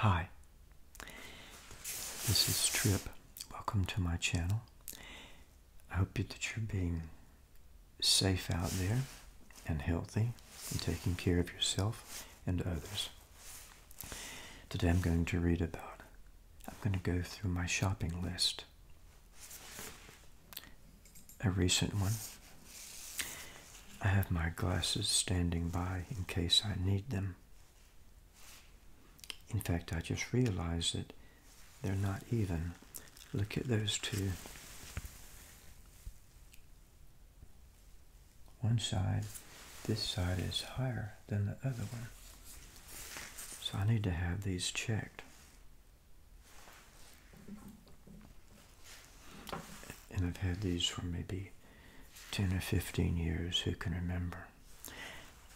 Hi, this is Trip. Welcome to my channel. I hope that you're being safe out there and healthy and taking care of yourself and others. Today I'm going to read about, I'm going to go through my shopping list a recent one. I have my glasses standing by in case I need them. In fact, I just realized that they're not even. Look at those two. One side, this side is higher than the other one. So I need to have these checked. And I've had these for maybe 10 or 15 years, who can remember?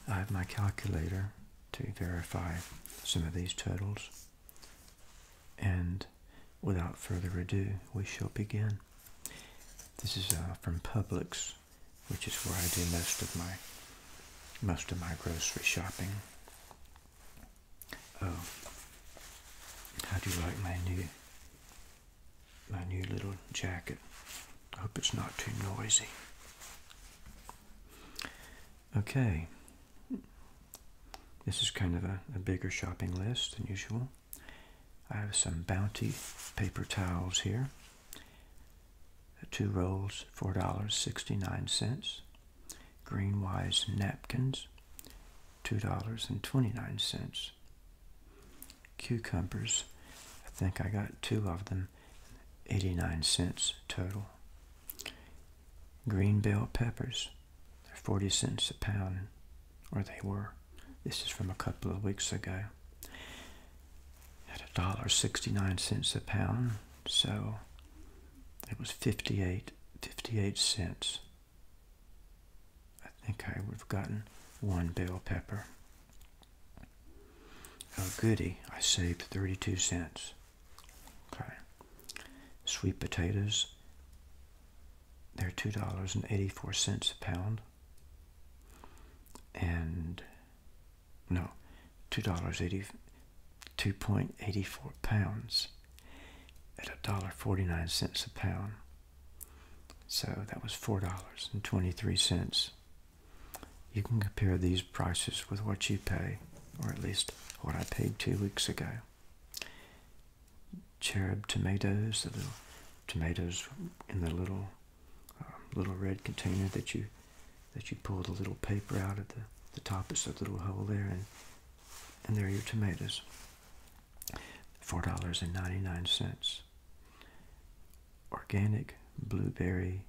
I have my calculator to verify some of these totals. And without further ado, we shall begin. This is uh, from Publix, which is where I do most of my most of my grocery shopping. Oh, how do you like my new my new little jacket? I hope it's not too noisy. Okay. This is kind of a, bigger shopping list than usual. I have some Bounty paper towels here. Two rolls, $4.69. Green Wise napkins, $2.29. Cucumbers, I think I got two of them, 89 cents total. Green bell peppers, they're 40 cents a pound, or they were. This is from a couple of weeks ago. At a dollar sixty-nine cents a pound, so it was 58, 58 cents I think I would have gotten one bell pepper. Oh, goody, I saved 32 cents. Okay. Sweet potatoes, they're $2.84 a pound. And, no, $2.80, 2.84 pounds at $1.49 a pound. So that was $4.23. You can compare these prices with what you pay, or at least what I paid two weeks ago. Cherub tomatoes, the little tomatoes in the little um, little red container that you that you pull the little paper out of the, the top is that little hole there and and there are your tomatoes $4.99. Organic blueberry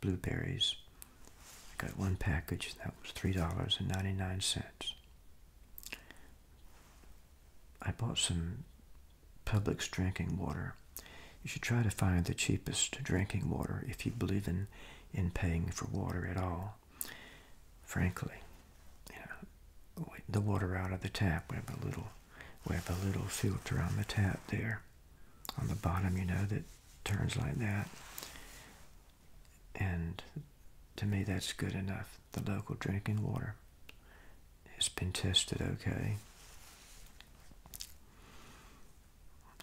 blueberries. I got one package that was $3.99. I bought some Publix drinking water. You should try to find the cheapest drinking water if you believe in, in paying for water at all. Frankly, you the water out of the tap. We have a little, we have a little filter on the tap there, on the bottom. You know that turns like that, and to me that's good enough. The local drinking water has been tested okay.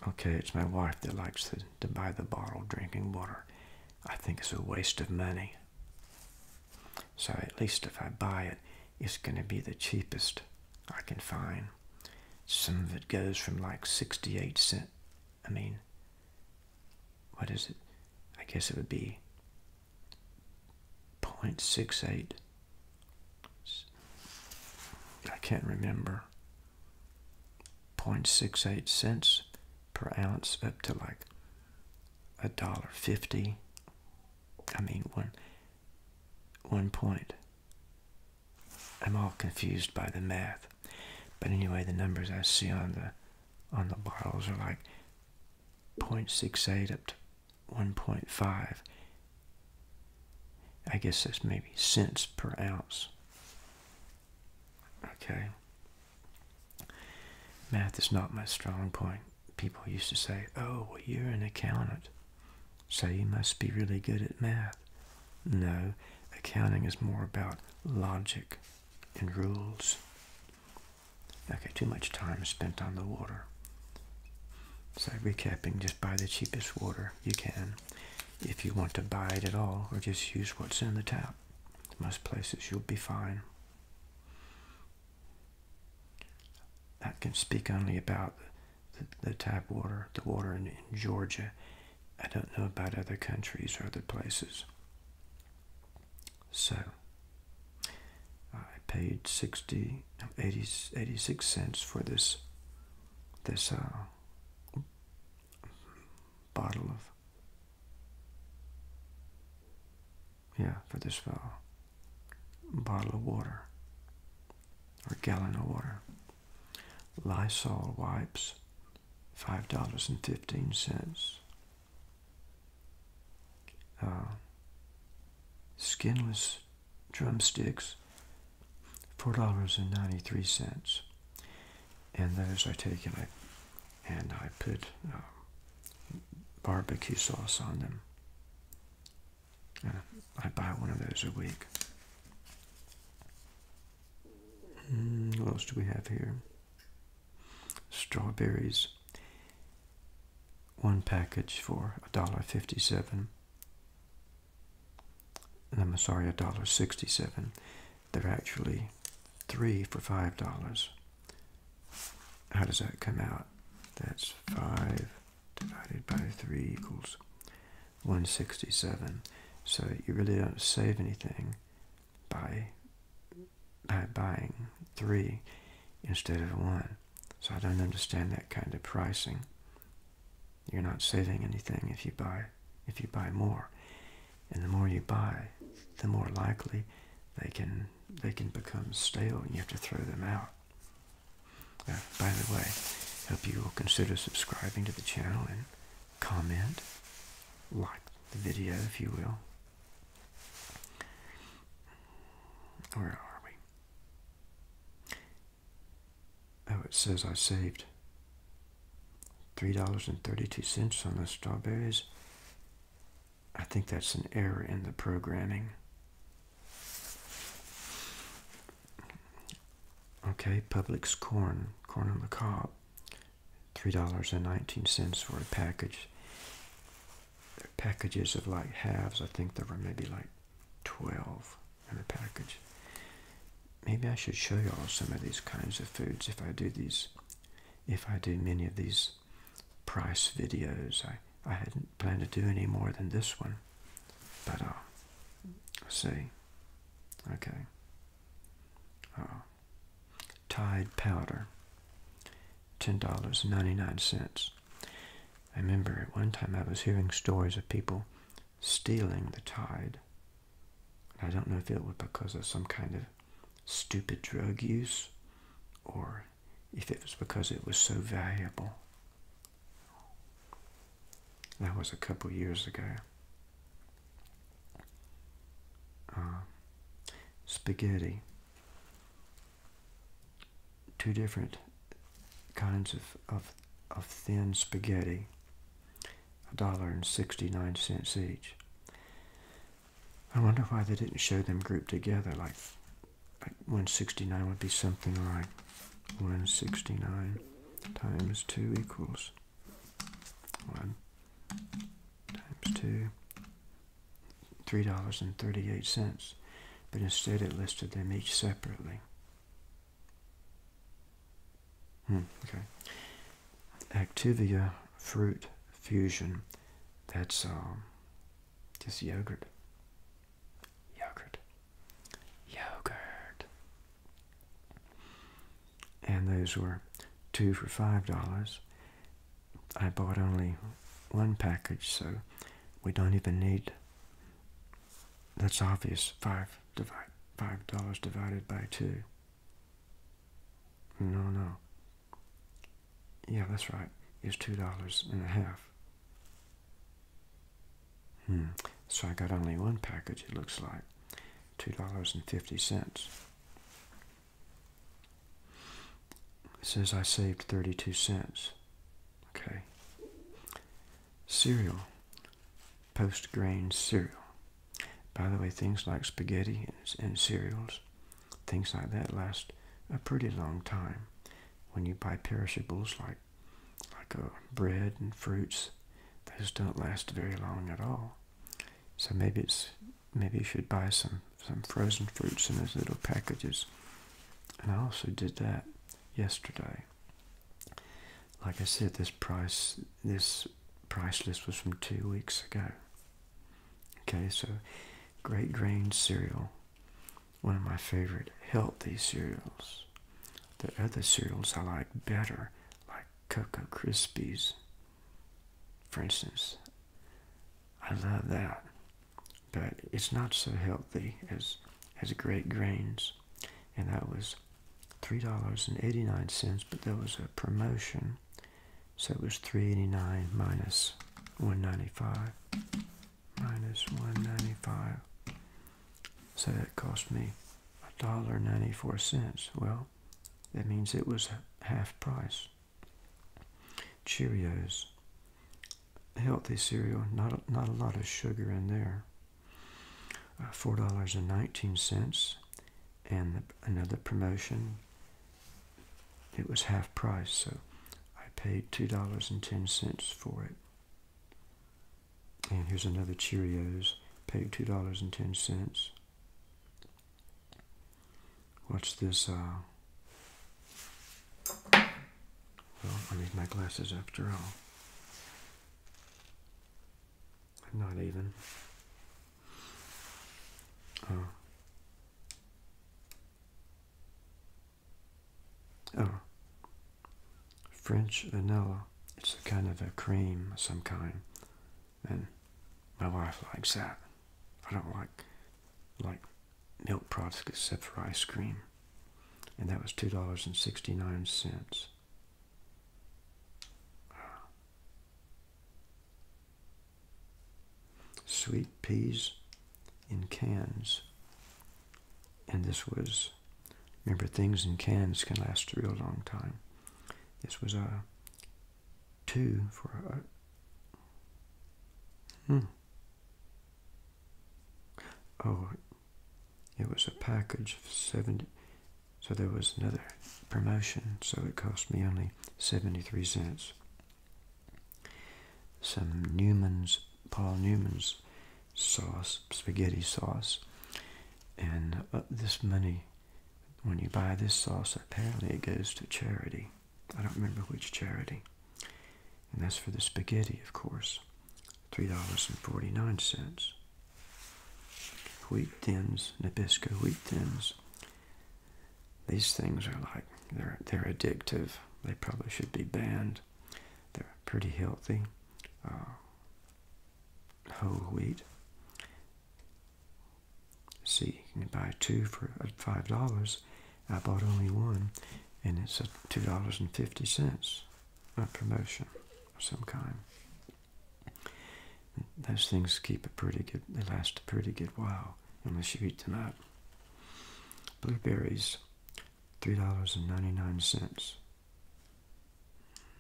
Okay, it's my wife that likes to, to buy the bottled drinking water. I think it's a waste of money. So at least if I buy it, it's going to be the cheapest I can find. Some of it goes from like 68 cent. I mean, what is it? I guess it would be 0.68. I can't remember. 0.68 cents per ounce up to like a dollar fifty. I mean one one point. I'm all confused by the math. But anyway, the numbers I see on the on the bottles are like 0.68 up to 1.5. I guess that's maybe cents per ounce. Okay. Math is not my strong point. People used to say, oh, well, you're an accountant, so you must be really good at math. No, accounting is more about logic and rules. Okay, too much time spent on the water. So recapping, just buy the cheapest water you can if you want to buy it at all or just use what's in the tap. Most places you'll be fine. I can speak only about the, tap water, the water in, Georgia. I don't know about other countries or other places. So, I paid 60, 86 cents for this, this uh, bottle of yeah, for this fellow. Uh, bottle of water or gallon of water. Lysol wipes, $5.15. Uh, skinless drumsticks, $4.93. And those take taken, I and I put um, barbecue sauce on them. Uh, I buy one of those a week. Mm, what else do we have here? Strawberries. One package for a $1.57. And I'm sorry, a dollar sixty-seven. They're actually three for five dollars. How does that come out? That's five divided by three equals 167. So you really don't save anything by by buying three instead of one. So I don't understand that kind of pricing. You're not saving anything if you buy if you buy more and the more you buy, the more likely they can they can become stale and you have to throw them out. Uh, by the way, I hope you will consider subscribing to the channel and comment, like the video if you will. Where are we? Oh, it says I saved $3.32 on the strawberries I think that's an error in the programming. Okay, Publix corn, corn on the cob, $3.19 for a package. packages of like halves, I think there were maybe like 12 in a package. Maybe I should show y'all some of these kinds of foods if I do these if I do many of these price videos. I, I hadn't planned to do any more than this one. But, uh, see. Okay. Uh, tide powder. $10.99. I remember at one time I was hearing stories of people stealing the Tide. I don't know if it was because of some kind of stupid drug use or if it was because it was so valuable. That was a couple years ago. Um, spaghetti. Two different kinds of, of, of thin spaghetti, a dollar and sixty nine cents each. I wonder why they didn't show them grouped together. Like, like 169 would be something like 169 times 2 equals 1 times 2, $3.38. But instead it listed them each separately. Hmm, okay. Activia fruit fusion. That's um, just yogurt. Yogurt. Yogurt. And those were two for five dollars. I bought only one package, so we don't even need. That's obvious. Five divide five dollars divided by two. No, no, yeah, that's right. It's two dollars and a half. Hmm. So I got only one package, it looks like. Two dollars and fifty cents. says I saved thirty-two cents. Okay. Cereal. Post grain cereal. By the way, things like spaghetti and cereals Things like that last a pretty long time. When you buy perishables like like uh, bread and fruits, those don't last very long at all. So maybe it's maybe you should buy some some frozen fruits in those little packages. And I also did that yesterday. Like I said, this price this price list was from two weeks ago. Okay, so great grain cereal, one of my favorite healthy cereals. The other cereals I like better, like Cocoa Krispies, for instance. I love that, but it's not so healthy as as great grains, and that was $3.89, but there was a promotion so it was 389 minus 195 minus 195. So that cost me a dollar ninety-four cents. Well, that means it was half price. Cheerios, healthy cereal, not a, not a lot of sugar in there. Uh, four dollars and nineteen cents and another promotion, it was half price, so I paid $2.10 for it. And here's another Cheerios, paid $2.10. What's this? Uh, well, I need my glasses after all. not even. Oh. Oh. French vanilla. It's a kind of a cream of some kind. And my wife likes that. I don't like like milk products except for ice cream. And that was two dollars and sixty nine cents sweet peas in cans. And this was, remember, things in cans can last a real long time. This was a two for a. Hmm. Oh, it was a package of 70. So there was another promotion, so it cost me only 73 cents some Newman's, Paul Newman's sauce, spaghetti sauce. And uh, this money, when you buy this sauce, apparently it goes to charity. I don't remember which charity. And that's for the spaghetti, of course. $3.49. Wheat thins, Nabisco wheat thins, these things are like they're they're addictive. They probably should be banned. They're pretty healthy. Uh, whole wheat. See, you can buy two for uh, five dollars. I bought only one, and it's a two dollars and fifty cents. A promotion of some kind those things keep a pretty good, they last a pretty good while unless you eat them up. Blueberries, $3.99.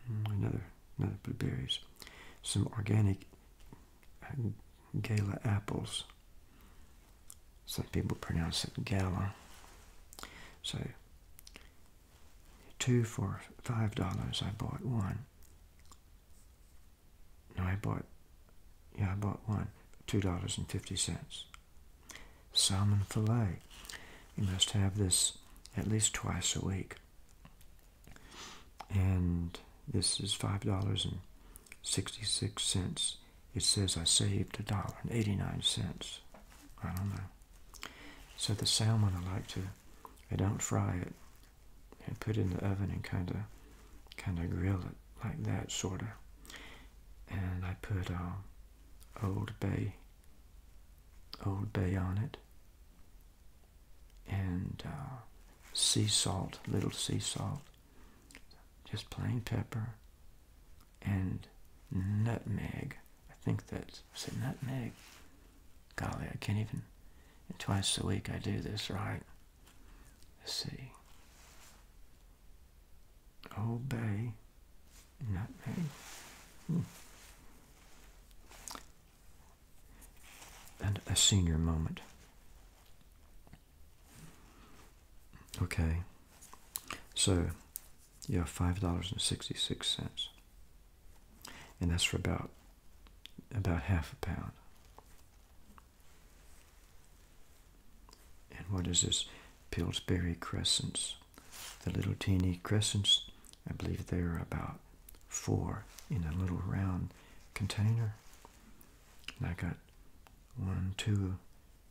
Hmm, another, another blueberries. Some organic uh, gala apples. Some people pronounce it gala. So, two for $5, I bought one. No, I bought, yeah, I bought one, $2.50. Salmon filet. You must have this at least twice a week. And this is $5.66. It says I saved a dollar and 89 cents. I don't know. So the salmon I like to, I don't fry it and put it in the oven and kind of kind of grill it like that sort of and I put um, Old Bay Old Bay on it and uh, sea salt little sea salt just plain pepper and nutmeg I think that's I said nutmeg golly I can't even twice a week I do this right Let's see. obey, not nutmeg. Hmm. And a senior moment. Okay. So you have five dollars and sixty six cents. And that's for about about half a pound. And what is this? Pillsbury crescents. The little teeny crescents, I believe they're about four in a little round container. And I got one, two,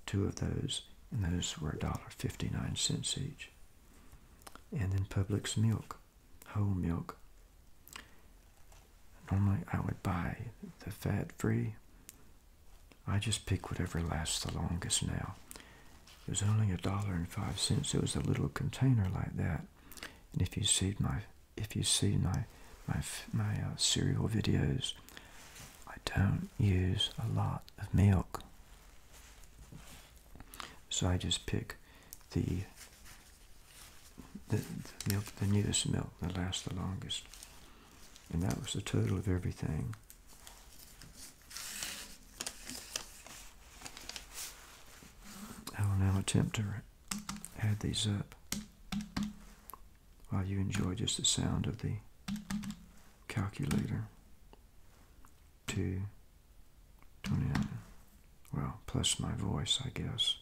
two of those, and those were $1.59 each. And then Publix milk, whole milk. Normally, I would buy the fat free. I just pick whatever lasts the longest now. It was only a dollar and five cents. It was a little container like that. And if you see my if you see my my my uh, cereal videos, I don't use a lot of milk. So I just pick the the, milk, the newest milk that lasts the longest. And that was the total of everything. I will now attempt to add these up while you enjoy just the sound of the calculator. 2, 29. Well, plus my voice, I guess.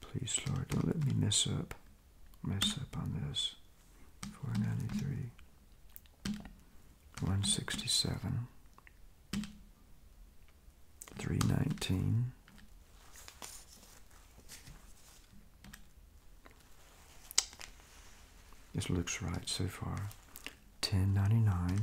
Please, Lord, don't let me mess up, mess up on this. 493, 167, 319, this looks right so far, 1099,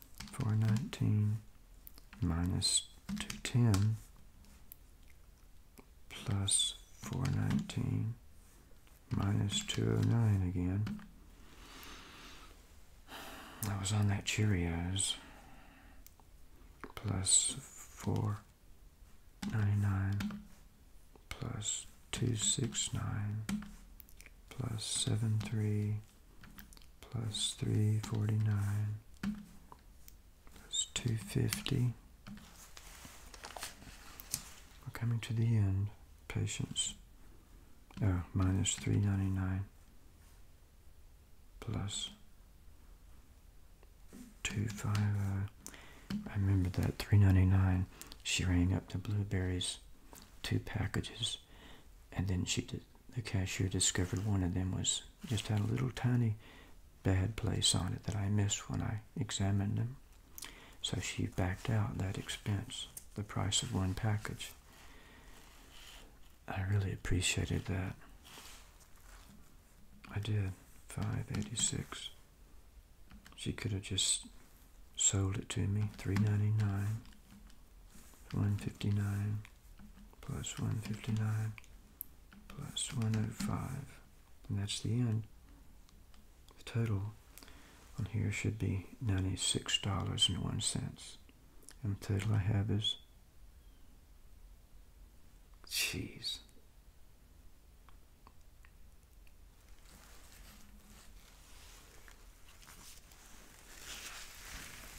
419 minus 210 plus 419 minus 209 again. I was on that Cheerios plus 499 plus 269 plus two six nine plus seven three plus 349 plus 250. We're coming to the end. Patience. Oh, minus 399 plus 250. I remember that 399. She rang up the blueberries, two packages and then she did the cashier discovered one of them was just had a little tiny bad place on it that I missed when I examined them. So she backed out that expense, the price of one package. I really appreciated that. I did. 586. She could have just sold it to me, 399. 159 plus 159 plus 105 and that's the end the total on here should be $96.01 and the total I have is jeez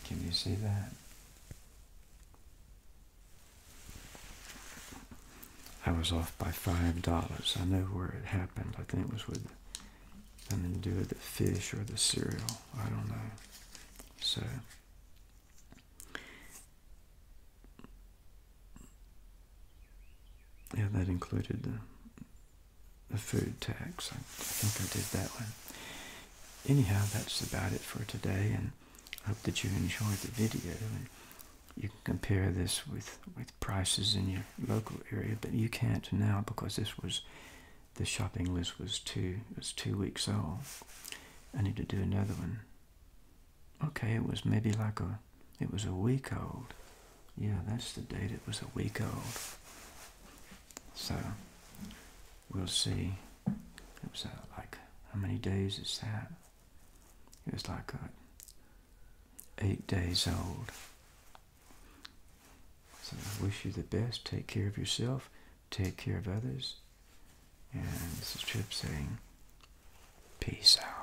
can you see that? I was off by five dollars. I know where it happened. I think it was with something to do with the fish or the cereal. I don't know. So yeah, that included the food tax. I think I did that one. Anyhow, that's about it for today, and hope that you enjoyed the video. you can compare this with, with prices in your local area, but you can't now because this was the shopping list was two was two weeks old. I need to do another one. Okay, it was maybe like a it was a week old. Yeah, that's the date. It was a week old. So we'll see. It was uh, like how many days is that? It was like uh, eight days old. So I wish you the best. Take care of yourself. Take care of others. And this is Chip saying, peace out.